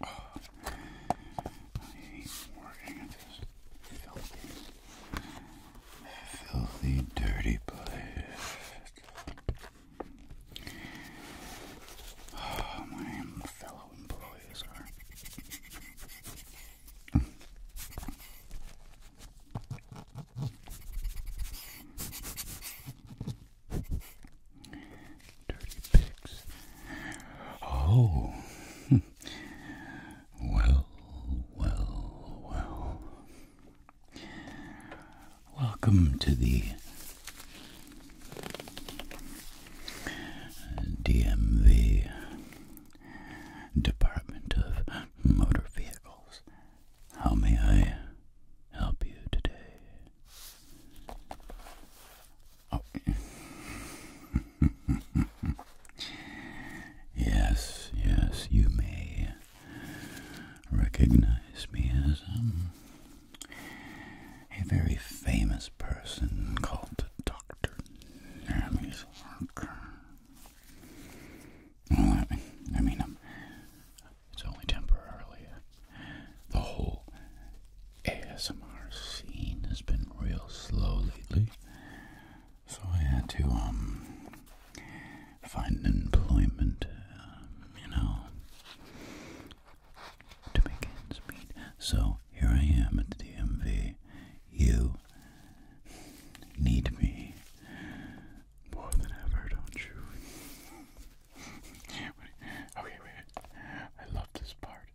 I hate working at this filthy, filthy, dirty place. Oh, my fellow employees are. Dirty pigs. Oh. well, well, well. Welcome to the DMV Department of Motor Vehicles. How may I help you today? Oh. yes, yes, you may recognize me as um, a very famous person called Dr. Hermes Harker. I mean, I um, mean it's only temporarily. The whole ASMR scene has been real slow lately, so I had to um find employment, um, you know, to make ends meet. So here I am at the DMV. You need me more than ever, don't you? okay, wait. I love this part.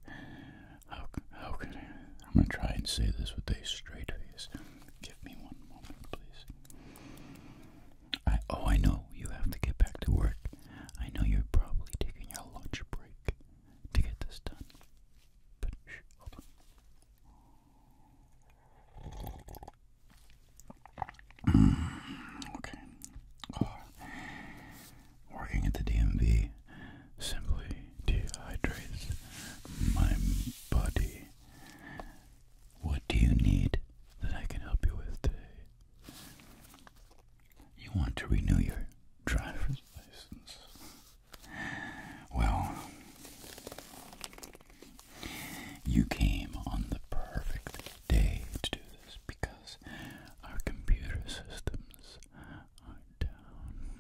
How how could I? I'm gonna try and say this with a straight face. Give me one moment, please. I oh I know you have to get back to work. I know you're probably taking your lunch break to get this done. Mm, okay. Working at the DMV simply dehydrates my body. What do you need that I can help you with today? You want to renew your driver's license? Well, you came on the perfect day to do this because our computer systems are down.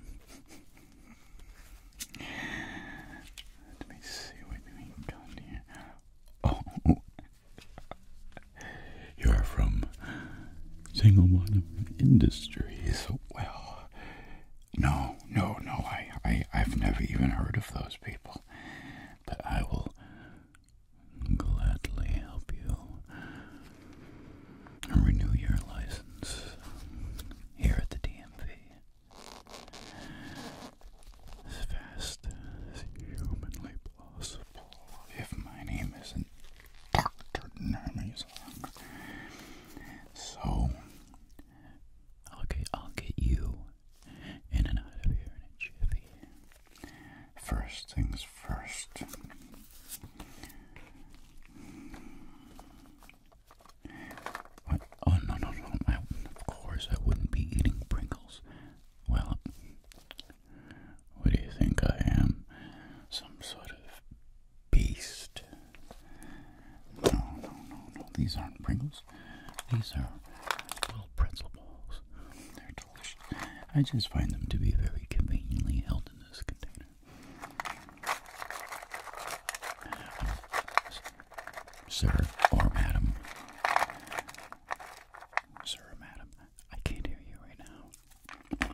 Let me see what we got here. Oh, you are from Single One Industries. Well, no, no, no. I, I, I've never even heard of those people but I will gladly help you renew your license here at the DMV as fast as humanly possible. If my name isn't Dr. Namazon. So, I'll get you in and out of here in a First things first. Oh, no, no, no. of course, I wouldn't be eating Pringles. Well, what do you think I am? Some sort of beast? No, no, no, no. These aren't Pringles. These are little pretzel balls. They're delicious. I just find them to be very conveniently held in this container. Sir or madam. Sir or madam. I can't hear you right now.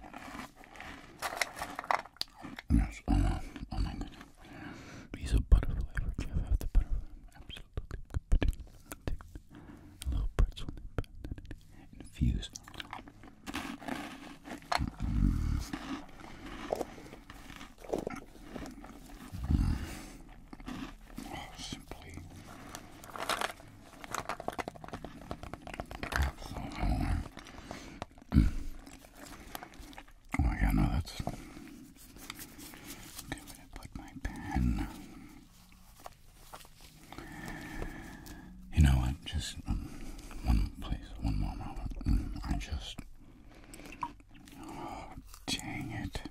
Yes, oh, oh my goodness. These are butterfly. I forgive the butterfly. I'm a little pretzel infused. Oh, simply. Oh yeah, no, that's I'm going to put my pen. You know what? Just um, one place, one more moment. Mm, I just. Oh, dang it.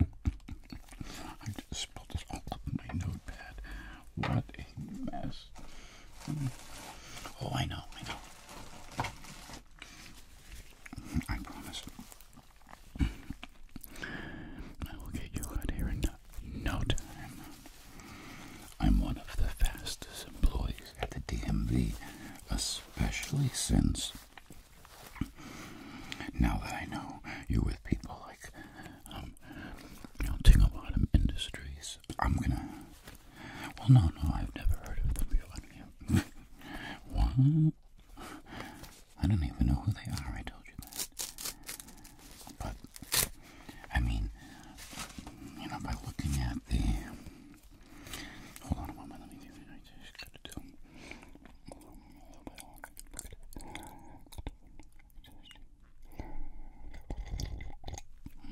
I just spilled this all up my notepad. What a mess. Mm. Oh, I know, I know. Mm, I promise. I will get you out here in no time. I'm one of the fastest employees at the DMV, especially since now that I know you're with people like um, Bottom Industries. I'm gonna. Well, no, no, I've never heard of them. you What? I don't even know who they are, I told you that. But, I mean, you know, by looking at the.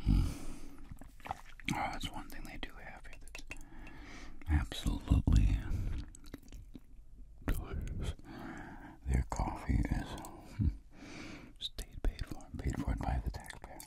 Hmm. Oh, that's one thing they do have absolutely their coffee is hmm, paid for, paid for by the taxpayer.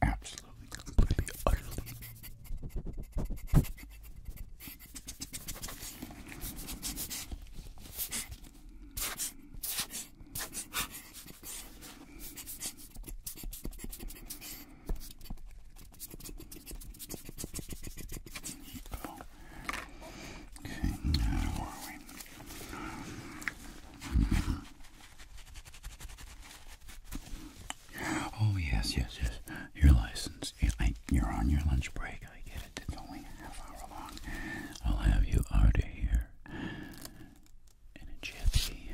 Absolutely, completely, utterly. Okay, now are we? Oh yes, yes, yes. Your license. I, you're on your lunch break. I get it. It's only a half hour long. I'll have you out here in a jiffy.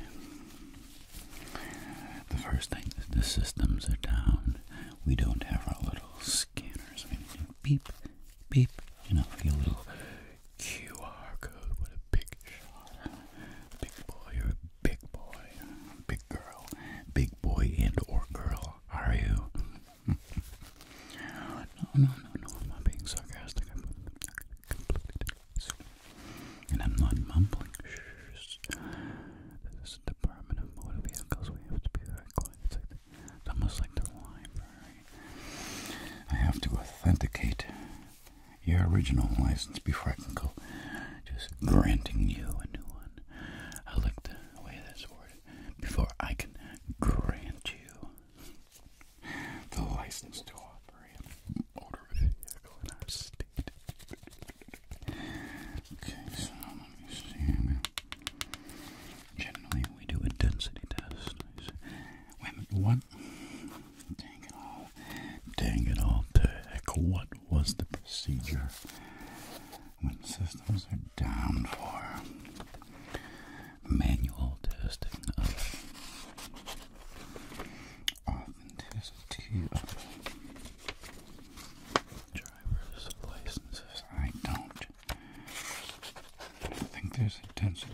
The first thing is the systems are down. We don't have our little scanners. beep, beep. You know, for your little QR code. What a big shot, big boy big boy, big girl, big boy and or girl are you? no, no, no, no, I'm not being sarcastic. I'm not mumbling. This is the Department of Motor Vehicles. We have to be very quiet. it's almost like the library. I have to authenticate your original license before I can go just granting you a new one. I like the way this worded. Before I can grant you the license to operate a vehicle in our state. okay, so let me see. Generally, we do a density test. Wait a one Dang it all. Dang it all What was the procedure when systems are down for manual testing of authenticity of driver's licenses? I don't. think there's a density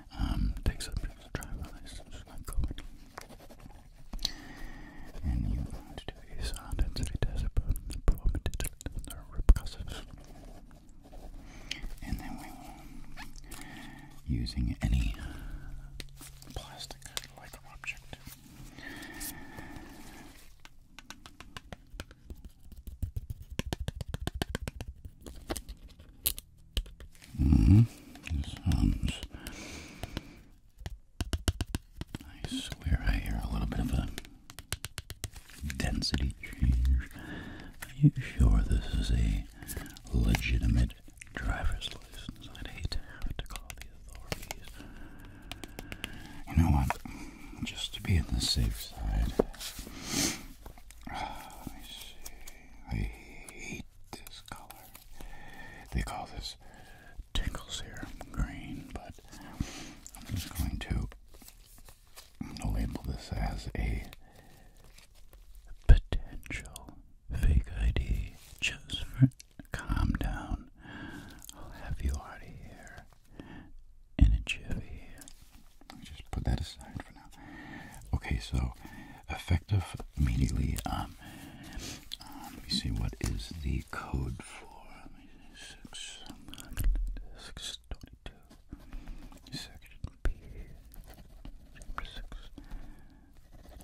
Um, takes up to dry And you're to do a sound density test about the probability of the repercussives. And then we will, using any plastic like object, -hmm. sounds. I swear I hear a little bit of a density change. Are you sure this is a legitimate driver's license? I'd hate to have to call the authorities. You know what? Just to be on the safe side. I see. I hate this color. They call this tinkle serum green, but I'm just going to label this as a potential fake ID just for calm down. I'll have you out of here in a jiffy. just put that aside for now. Okay, so effective immediately. Um, um, let me see what is the code for. six twenty-two, section B, chapter six,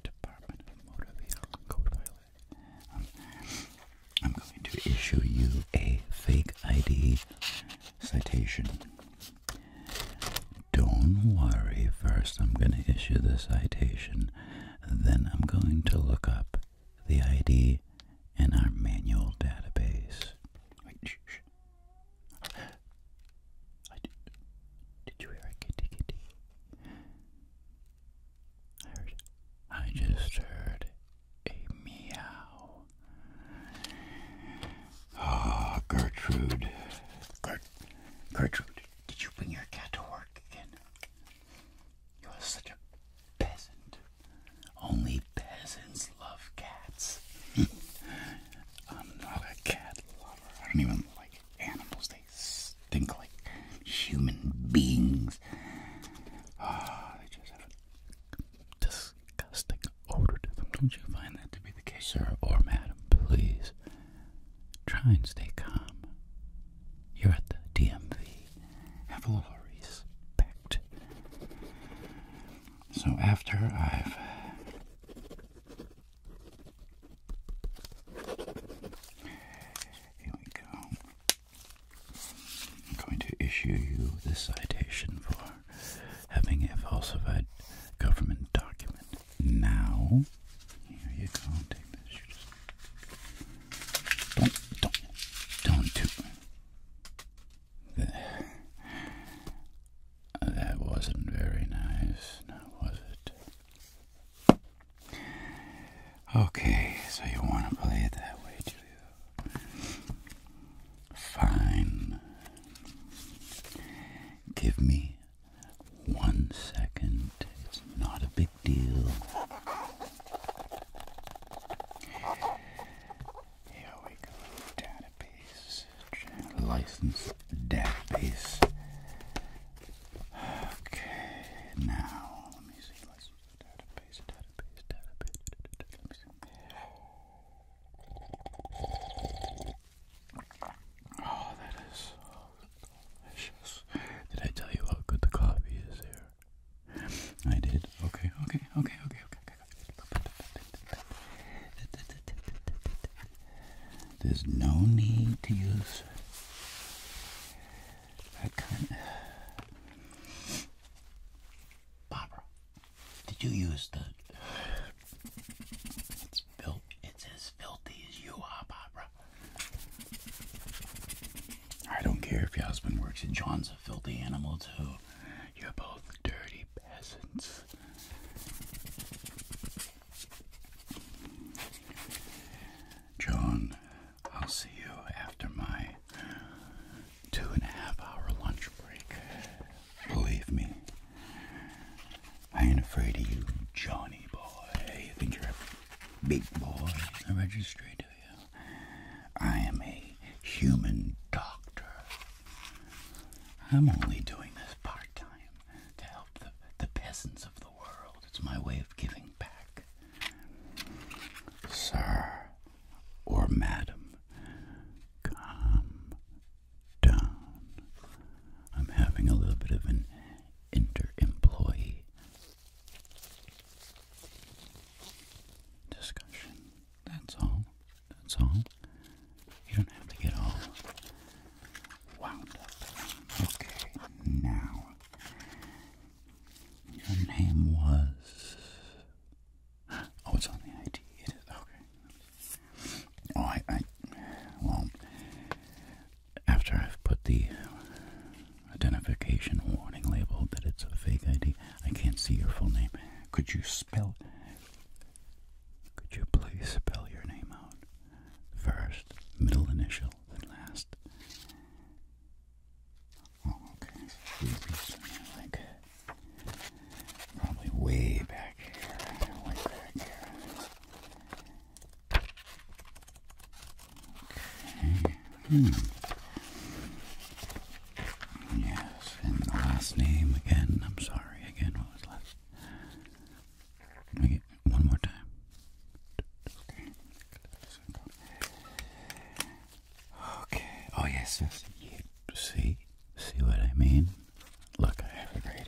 Department of Motor Vehicle Code Violation. Um, I'm going to issue you a fake ID citation. Don't worry, first I'm going to issue the citation, then I'm going to look up the ID in our manual database. did, you hear a kitty kitty? I heard. I just heard a meow. Ah, Gertrude. Gert, Gertrude. Did you bring your cat to work again? You are such a peasant. Only peasants love cats. I'm not a cat lover. I don't even like animals. They stink like human beings. Ah, they just have a disgusting odor to them. Don't you find that to be the case, sir or madam? Please Try and stay calm. You're at the DMV. Have a little respect. So after I've here we go. I'm going to issue you this citation for having a falsified government document now. Here you go. Take this. don't, don't, don't do that. Oh, that wasn't very nice, now was it? Okay, so you want to play it that way, Julio? Fine. Give me one second. It's not a big deal. Here we go. Database. License database. Okay, now let me see. License database, database, database. Oh, that is so delicious. Did I tell you how good the coffee is there? I did. Okay, okay, okay, okay, okay, There's no need to use that kind Barbara, did you use the it's built. It's as filthy as you are, Barbara. I don't care if your husband works And John's a filthy animal too. You're both dirty peasants. John, I'll see you after my two and a half hour lunch break. Believe me, I ain't afraid of you, Johnny boy. You think you're a big boy in the registry, you? I am a human doctor. I'm only doing this part time to help the, the peasants of the world. It's my way of giving back. Sir or madam, come down. I'm having a little bit of an inter-employee discussion. That's all. That's all. You don't have to get all wound up. Okay, now. Your name was. Oh, it's on the ID. Okay. Oh, I, well, after I've put the identification warning label that it's a fake ID, I can't see your full name. Could you spell, could you please spell your name out? First, middle initial, then last. Oh, okay, like, probably way back here, way back here. Okay. Hmm. Yes, and last name again. I'm sorry, again, what was last? Can we one more time? Okay. Oh yes, yes. see, see what I mean? Look, I have a great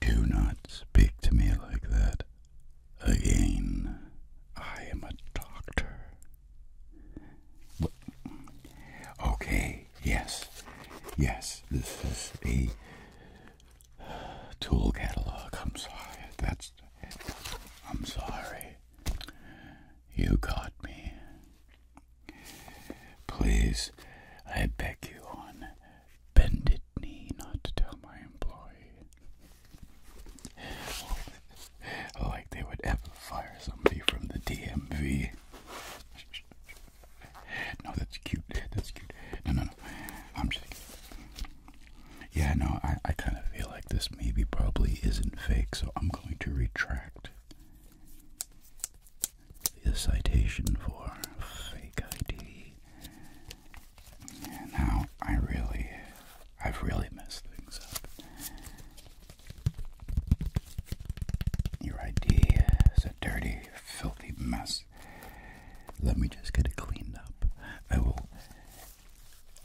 Do not speak to me like that again. I am a doctor. Okay, yes, yes, this is a tool catalog. I'm sorry. That's. I'm sorry. You got me. Please, I beg you on bended knee not to tell my employee. like they would ever fire somebody from the DMV. no, that's cute. That's cute. No, no, no. I'm just. Yeah, no, I, I kind of feel like this maybe probably isn't fake, so I'm going to retract the citation for fake ID. now I really, I've really messed things up. Your ID is a dirty, filthy mess. Let me just get it cleaned up. I will.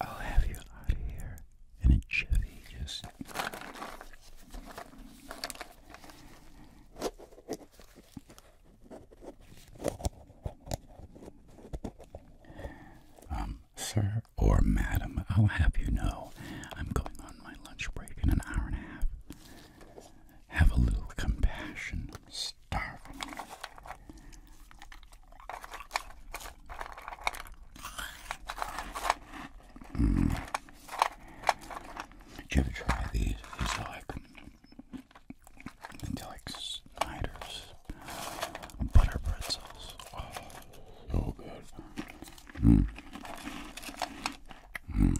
I'll have you out of here in a jiffy. Just um, sir or madam, I'll have you know I'm going on my lunch break in an hour and a half. Have a little compassion. starving. Mm. Did you ever try these? These are like, they're like Snyder's butter pretzels. Oh, so good. Mm. Mm.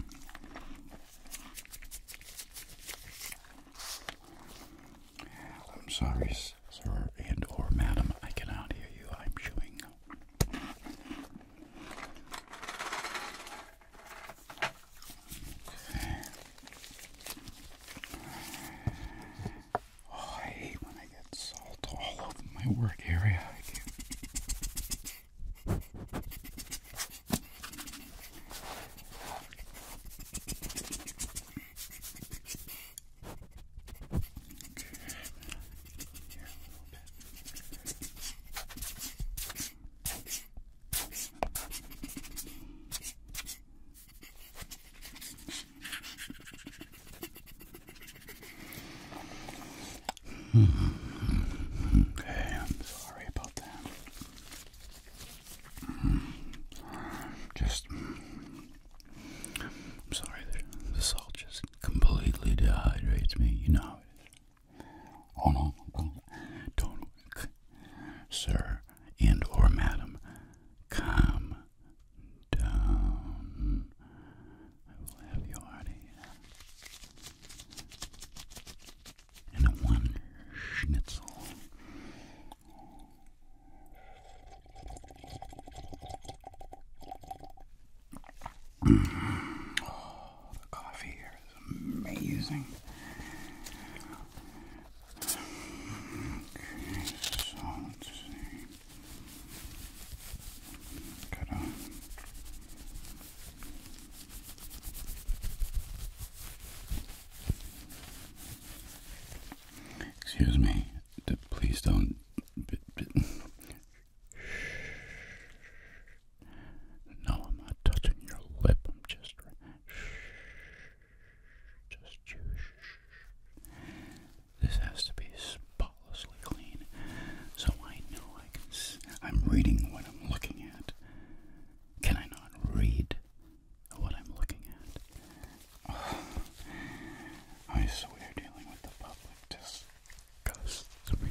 I'm sorry, sir and or madam, I cannot hear you. I'm chewing. Oh, I hate when I get salt all over my work area. I Okay. Here a little bit. Hmm. Okay, I'm sorry about that. Hmm. Just, I'm sorry, the salt just completely dehydrates me. You know how it is on oh, don't sir and or madam calm down I will have you out here and one schnitzel Oh, the coffee here is amazing. so let's see. Got Excuse me, please don't. Shh. No, I'm not touching your lip. I'm just. Just you. This has to be spotlessly clean, so I know I can. S I'm reading what I'm looking at. Can I not read what I'm looking at? I swear, dealing with the public disgusts me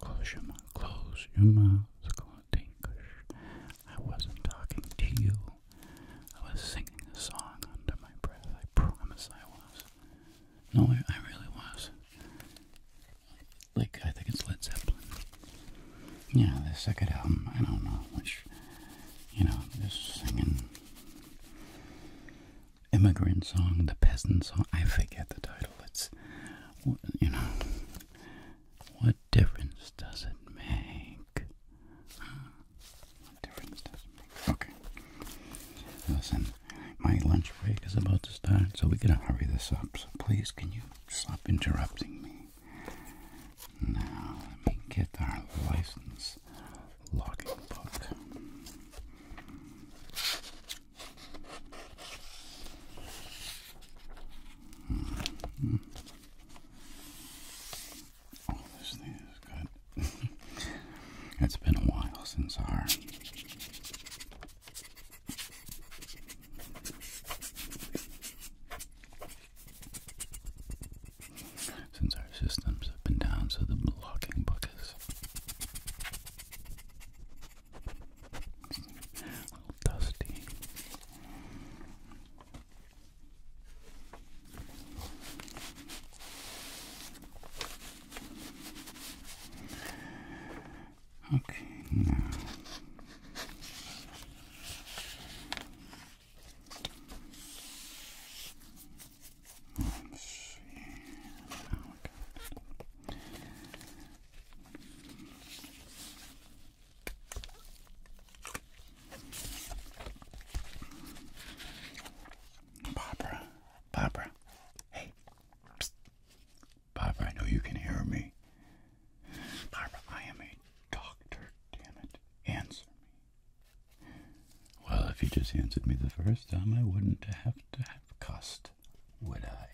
Close your mouth. Close your mouth. I wasn't talking to you. I was singing a song under my breath. I promise I was. No, I, I really was. Like, I think it's Led Zeppelin. Yeah, the second album, I don't know which, you know, this singing immigrant song, the peasant song. I forget the title. It's, you know, what difference does it make? What difference does it make? Okay. Listen, my lunch break is about to start, so we gotta hurry this up. So please, can you stop interrupting me? Now, let me get our license logging book. Hmm. it's been a while since our since our systems up and down, so the blocking book is a little dusty. Okay, now. Barbara, Barbara, hey, Barbara, I know you can hear me. Barbara, I am a doctor, damn it. Answer me. Well, if you just answered me the first time, I wouldn't have to have cussed would I?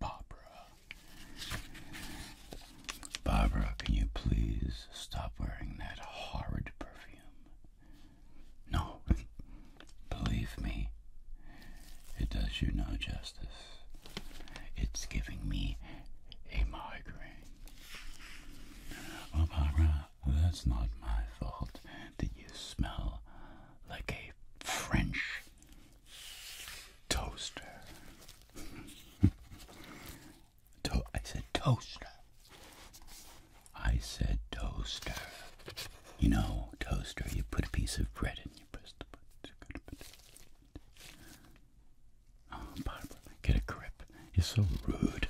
Barbara. Barbara, can you please stop wearing that horrid perfume? No, believe me, it does you no justice. It's giving me a migraine. Oh, Barbara, that's not my fault that you smell like a French toaster. I said toaster. I said toaster. You know, toaster, you put a piece of bread in, you press the button. Oh, Barbara, get a grip. You're so rude.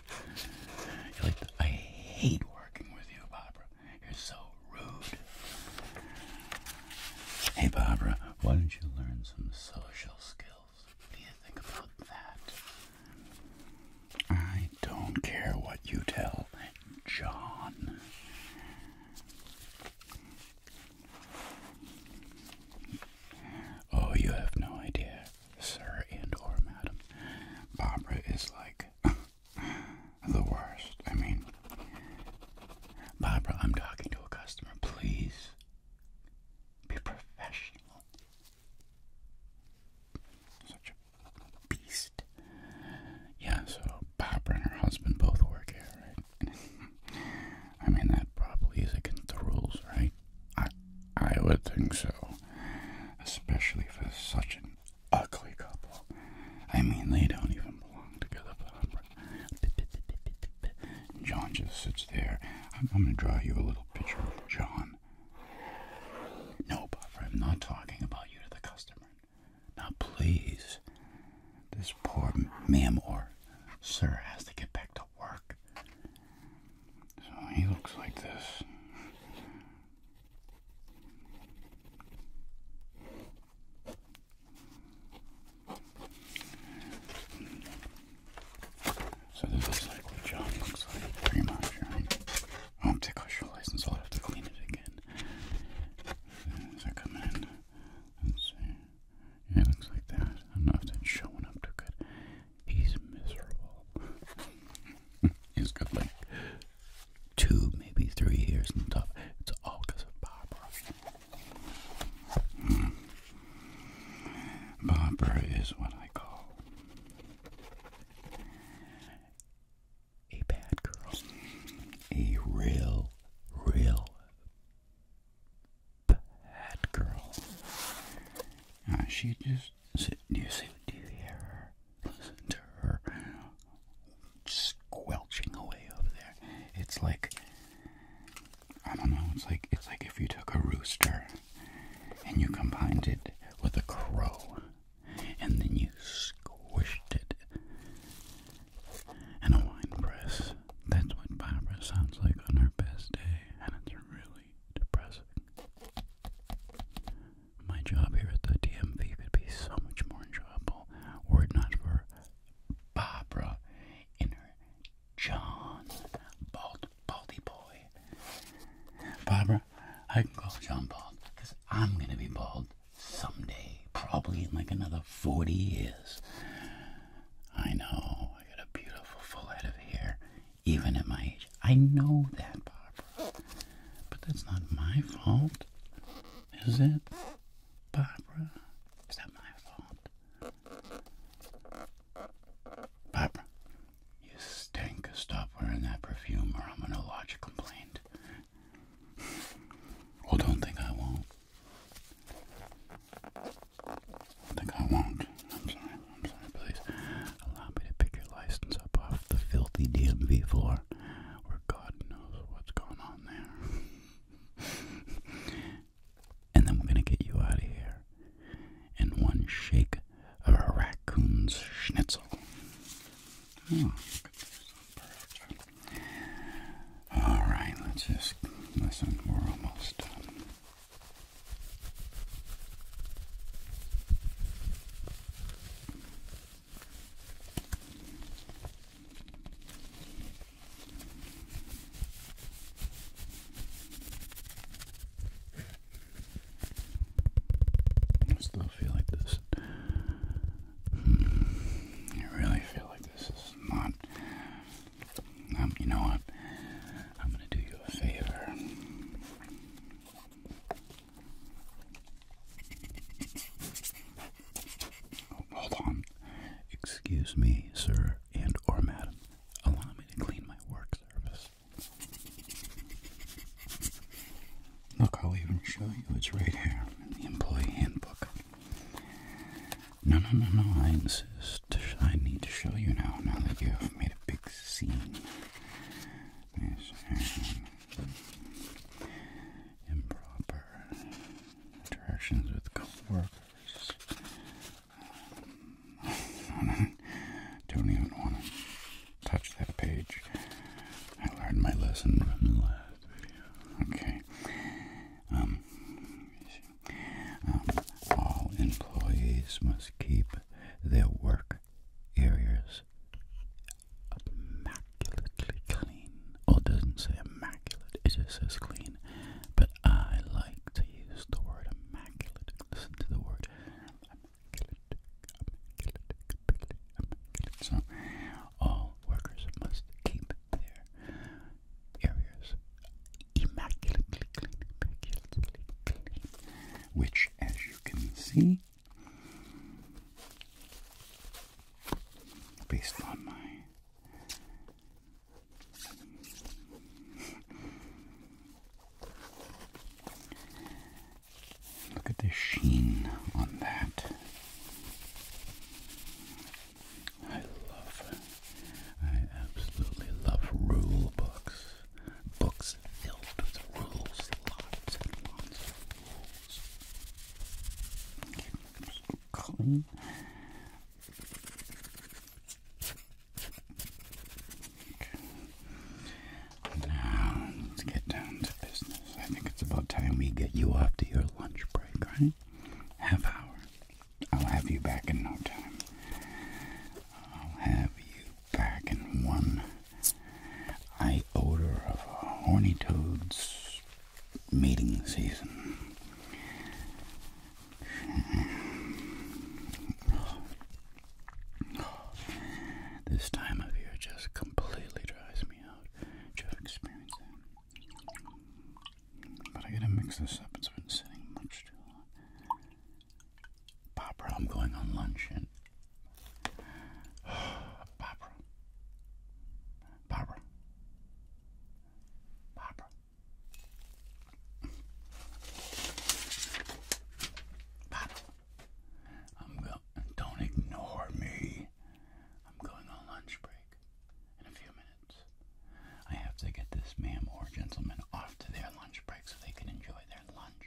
like I hate working with you, Barbara. You're so rude. Hey, Barbara, why don't you learn some social skills? What do you think about that? I don't care what you tell John. Oh, you have no idea, sir and or madam. Barbara is like the worst. I mean, Barbara, I'm talking to a customer. Please be professional. Such a beast. Yeah, so Barbara and her husband both work here, I mean, that probably is against the rules, right? I, I would think so. Especially for such an ugly couple. I mean, they don't even belong together. But John just sits there. I'm, going to draw you a little picture of John. No, Buffer, I'm not talking about you to the customer. Now, please, this poor ma'am or sir has to get back to work. So he looks like this. So this is like what John looks like, pretty much, Oh, I'm ticklish your license, i have to clean it again. As I come in, let's see. it looks like that. I don't if that's showing up too good. He's miserable. He's got two, maybe three years on top. It's all because of Barbara. Hmm. Barbara is what I call a bad girl. A real, real bad girl. Uh, she just, do you see, do you hear her? to her squelching away over there. It's like I don't know, it's like it's like if you took a rooster and you combined it with a crow and then you squished it in a wine press. That's what Barbara sounds like on her best day, and it's really depressing my job here at the DMV would be so much more enjoyable were it not for Barbara in her John Bald Baldy Boy. Barbara, I can call John Bald because I'm going to be bald someday, probably in like another 40 years. I know, I got a beautiful full head of hair, even at my age. I know that, part. But that's not my fault, is it? Barbara, is that my fault? Barbara, you stink. Stop wearing that perfume or I'm going to lodge a complaint. Well, don't think I won't. think I won't. I'm sorry. I'm sorry. Please allow me to pick your license up off the filthy DMV floor where God knows what's going on there. and then we're going to get you out of here in one shake of a raccoon's schnitzel. Hmm. Alright, let's just listen. We're almost done. I still feel like this. I really feel like this is not. Um, you know what? I'm gonna do you a favor. Oh, hold on. Excuse me, sir and or madam. Allow me to clean my work surface. Look, I'll even show you. It's right here in the employee handbook. No, no, no, no. I insist. I need to show you now. Now that you have made a big scene. Yes, improper interactions with coworkers. Um, don't even want to touch that page. I learned my lesson from the last video. Okay. Um, um, all employees must keep their work areas immaculately clean. Or doesn't say immaculate, it just clean. But I like to use the word immaculate. Listen to the word immaculate, immaculate, immaculate, all workers must keep their areas immaculately clean. Which, as you can see, based on my Look at this sheen on that. I love, I absolutely love rule books. Books filled with rules, lots and lots clean. Now let's get down to business. I think it's about time we get you off to your lunch break, right? Half hour. I'll have you back in no time. I'll have you back in one I odor of a horny toad's mating season. This time of year just completely drives me out. Just experiencing. But I gotta mix this up. It's been sitting much too long. Pop, I'm going on lunch and Barbara. Barbara. Barbara. Barbara. I'm go don't ignore me. I'm going on lunch break in a few minutes. I have to get this ma'am or gentleman off to their lunch break so they can enjoy their lunch.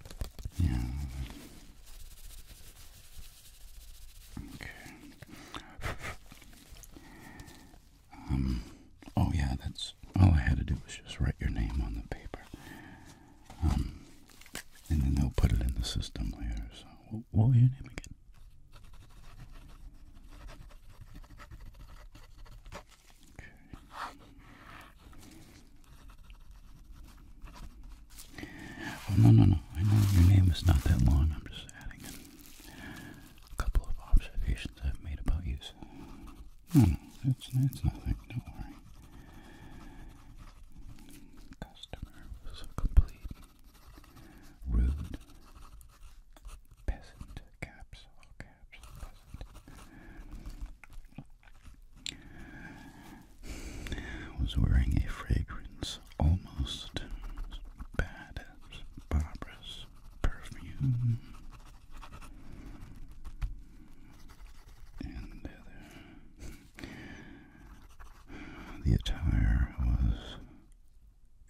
Yeah. Okay. Um. Oh yeah, that's all I had to do was just write your name on the paper. Um. And then they'll put it in the system later. So, what, what was your name again? Okay. Oh, no, no, no. I know your name is not that long. I'm just adding in a couple of observations I've made about you. So. No, no. It's, it's nothing. Don't worry. Customer was a complete rude peasant. Caps, all caps was wearing a fragrance almost as bad as Barbara's perfume. And the attire was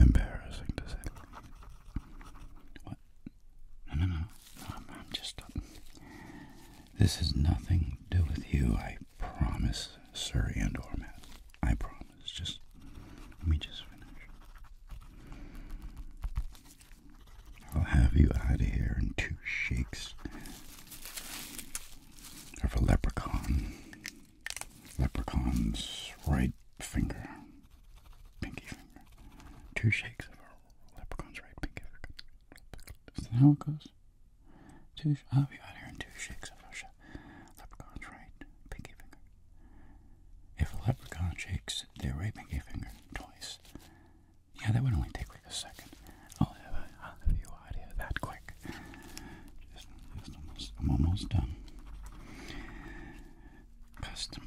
embarrassing to say. What no, no, no. I'm, just. This has nothing to do with you. I promise, Sir Andor, Matt. I promise. Just let me just finish. I'll have you out of here in two shakes of a leprechaun. Leprechaun's right finger, pinky finger. Two shakes of a leprechaun's right pinky finger. Is how it goes? Two, I'll be out here in two shakes of a Leprechaun's right, pinky finger. If a leprechaun shakes their right pinky finger twice, yeah, that would only take like a second. I'll have, a, I'll have you out here that quick. Just, just almost, I'm almost done. Customer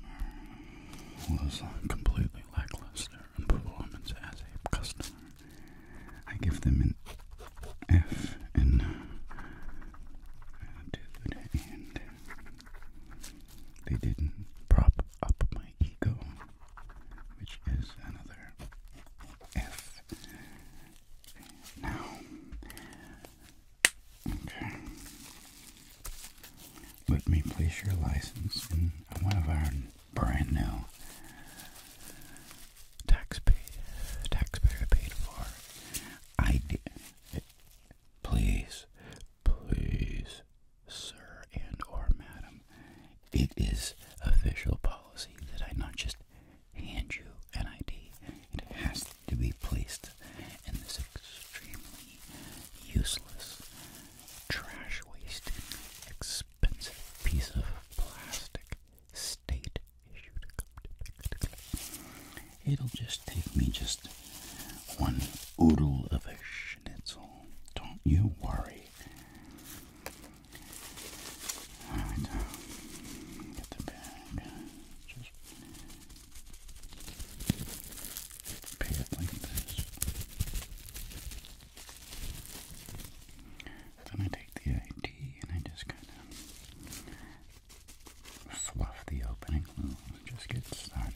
was uh, completely lackluster performance as a customer. I give them an F uh, and they didn't prop up my ego, which is another F. Now, okay, let me place your license in one of our brand new. Tax taxpayer paid for. I Please, please, sir and or madam, it is official policy that I not just hand you an ID. It has to be placed in this extremely useless trash wasting, expensive piece of plastic, state issue It'll just take me just one oodle of a schnitzel. Don't you worry. Alright, uh, get the bag. Just Pay it like this. Then I take the ID and I just kind of fluff the opening just get started.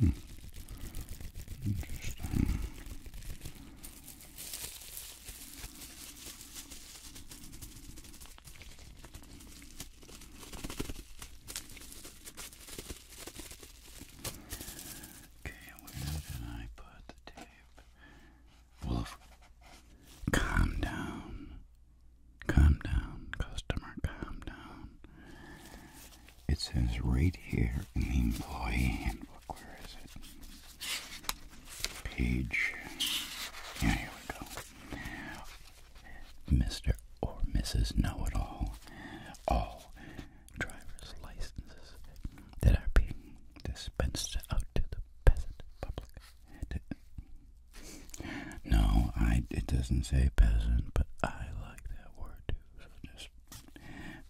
Hmm. Okay, where did I put the tape? Wolf, calm down. Calm down, customer, calm down. It says right here in the employee handbook. Where is it? page. Yeah, here we go. Mr. or Mrs. Know It All. All driver's licenses that are being dispensed out to the peasant public. No, I. It doesn't say peasant, but I like that word too. So just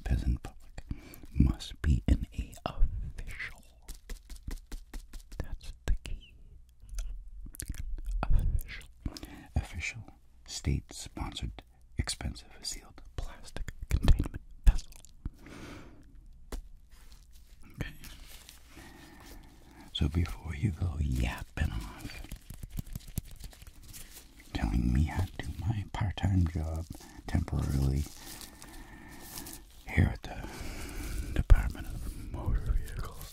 peasant public must be in A official. That's the key. Official. Official state sponsored expensive sealed plastic containment vessel. Okay. So before you go yapping off, telling me how to do my part time job temporarily here at the Department of Motor Vehicles.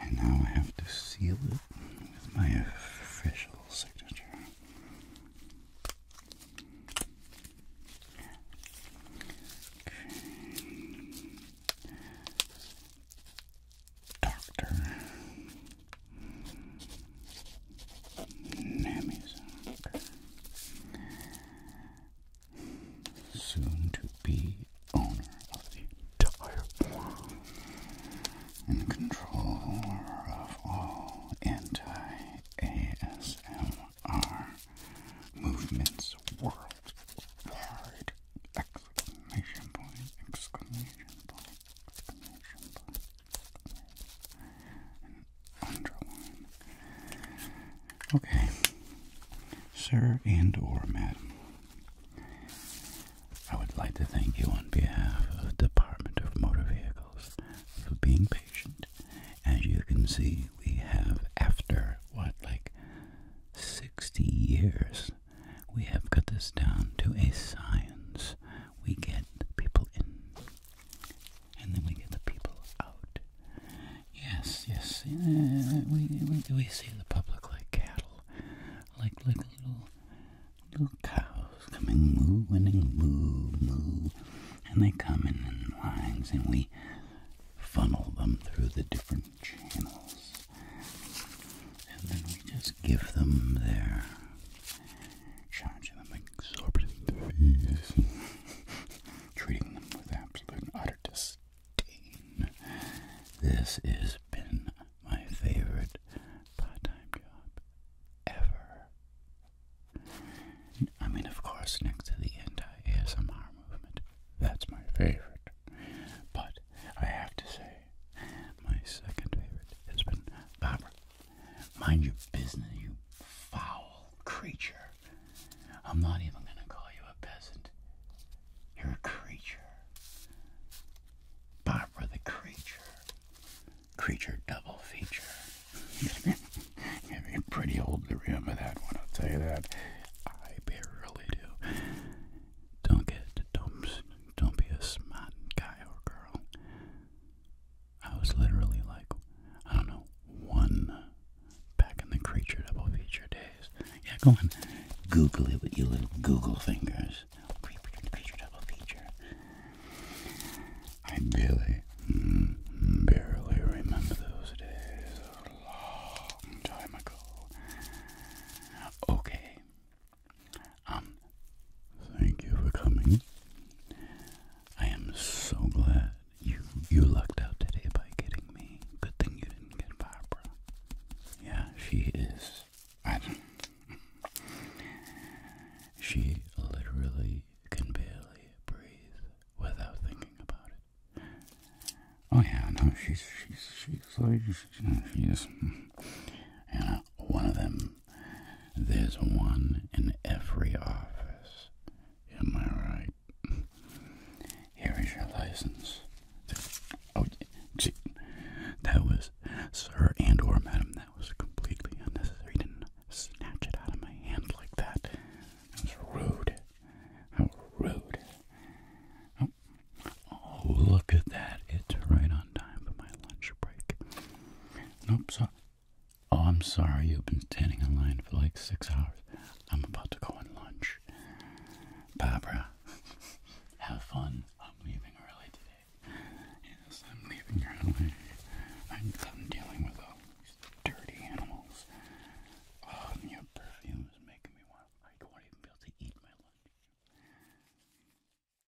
And now I have to seal it with my official signature. Okay. Doctor Namizak. Soon to be owner of the entire world and controller of all anti ASMR movements worldwide. Exclamation point, exclamation point, exclamation point. Okay. Sir and or madam. I would like to thank you on behalf of the Department of Motor Vehicles for being patient. As you can see, we have, after what, like 60 years, we have cut this down to a science we get the people in and then we get the people out. Yes, yes, we, we, we see the public like cattle, like, like little, little cows coming moo, winning moo, moo, and they come in in lines and we funnel them through the different channels. And then we just give them there charging them exorbitant fees, treating them with absolute utter disdain. This has been my favorite part-time job ever. I mean, of course, next to the anti-ASMR movement, that's my favorite. But I have to say, my second favorite has been Barbara Mind your business, you foul creature. I'm not even going to call you a peasant. You're a creature. Barbara the creature. Creature double feature. You're pretty old to remember that one, I'll tell you that. I barely do. Don't get dumped. Don't be a smart guy or girl. I was literally like, I don't know, one back in the creature double feature days. Yeah, go on, Google it with your little Google fingers. Creature, double feature. I barely, mm, barely remember those days. A long time ago. Okay, um, thank you for coming. I am so glad you you lucked out today by getting me. Good thing you didn't get Barbara. Yeah, she is. I She literally can barely breathe without thinking about it. Oh yeah, no, she's she's she's she's, she's uh, one of them there's one in every office. Am I right? Here is your license. Oh, that was, sir and or madam, that was completely unnecessary. You didn't snatch it out of my hand like that. That's rude. How rude. Oh, oh look at that. It's right on on time for my lunch break. Nope, so oh, I'm sorry, you've been standing in line for like six hours. I'm about to go on lunch. Barbara, have fun. I'm leaving early today. Yes, I'm leaving early. I'm done dealing with all these dirty animals. Oh, and your perfume is making me want, I don't even be able to eat my lunch.